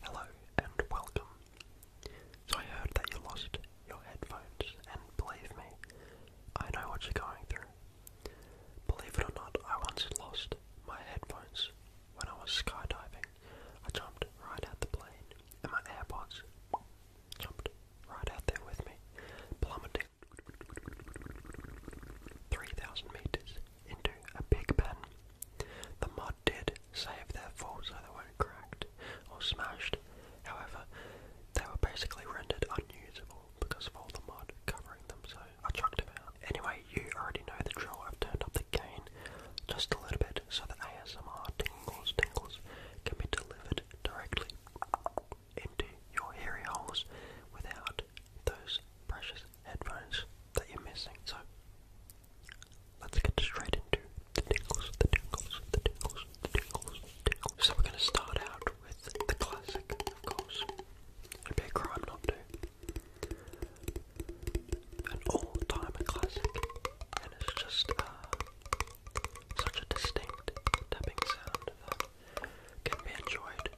Hello and welcome. So I heard that you lost your headphones, and believe me, I know what you're going through. Believe it or not, I once lost my headphones when I was skydiving. I jumped right out the plane, and my AirPods jumped right out there with me, plummeting 3,000 meters into a big pen the mod did save their falls, so they weren't cracked or smashed, however, they were basically rendered unusable because of all the mod covering them, so I chucked them out. Anyway, you already know the drill, I've turned up the gain just a little bit so that ASMR tingles tingles can be delivered directly into your hairy holes without those precious headphones that you're missing. So let's get straight into the tingles, the tingles, the tingles, the tingles, the tingles. So we're gonna start out with the classic, of course. It'd be a crime not to. An all-time classic, and it's just uh, such a distinct tapping sound that can be enjoyed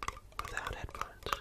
without headphones.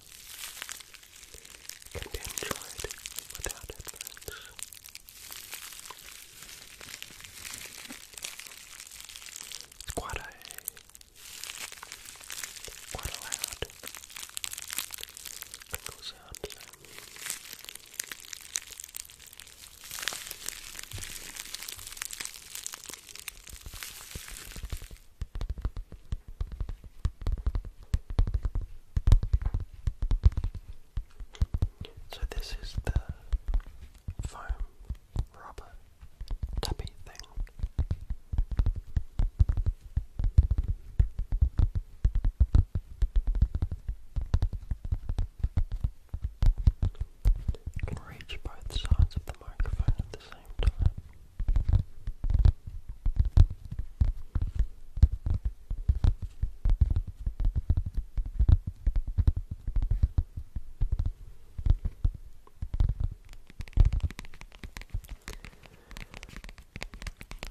can be enjoyed without headphones. It's quite a, quite a loud crinkle sound so. So this is the foam rubber tappy thing. You reach both sides of the microphone at the same time.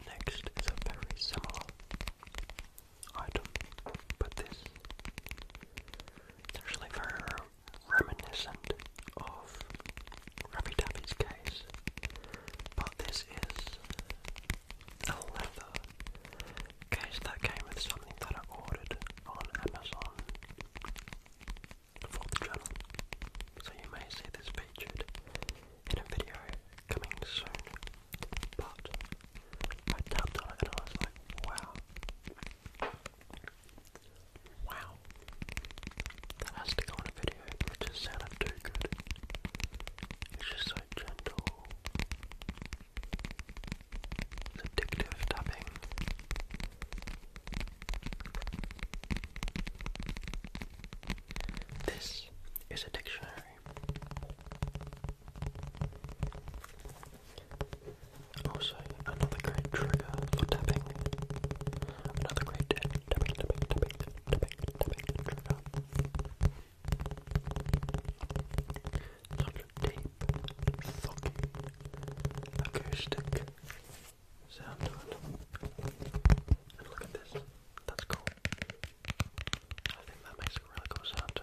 Next is a very similar item, but this is actually very reminiscent of Raffy Daffy's case, but this is a leather case that came with something that I ordered on Amazon for the channel. So you may see this featured in a video coming soon, but I tapped on it and I was like, wow. Wow. That has to go on a video. It just sounded too good. It's just so gentle. It's addictive tapping. This is a dictionary. Also, another great trigger for tapping Another great Tape, funky, acoustic sound look at this. That's cool. I think that makes a really cool sound too.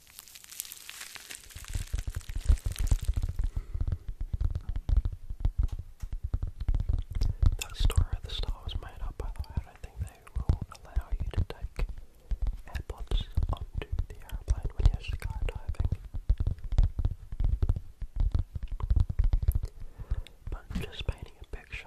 The story of the star was made up, by the way. I think they will allow you to take AirPods onto the airplane when you're skydiving. But just painting a picture.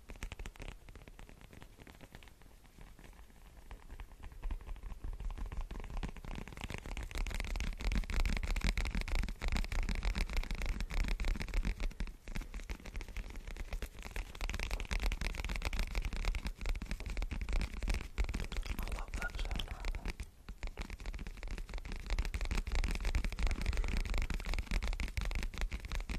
I love that sound right there.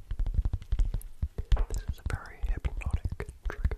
This is a very hypnotic trigger.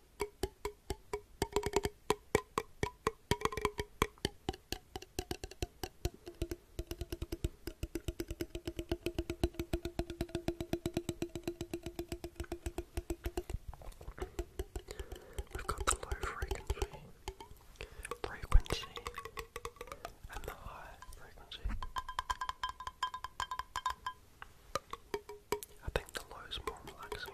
We've got the low frequency, frequency, and the high frequency. I think the low is more relaxing.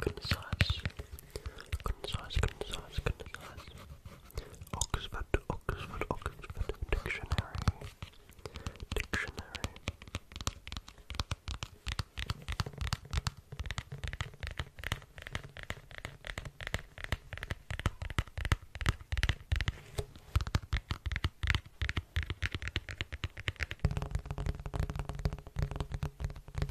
good size, good size, good size, good Dictionary, Dictionary.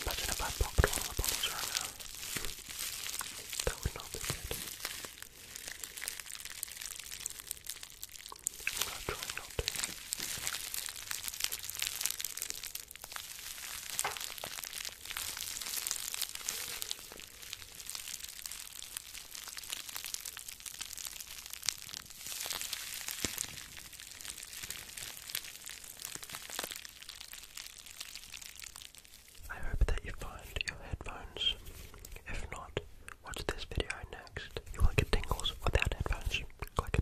Imagine if I popped one of the bottles right now. That would not be good. I'm gonna try not to. I hope that you find your headphones. If not, watch this video next. You will get tingles without headphones. Click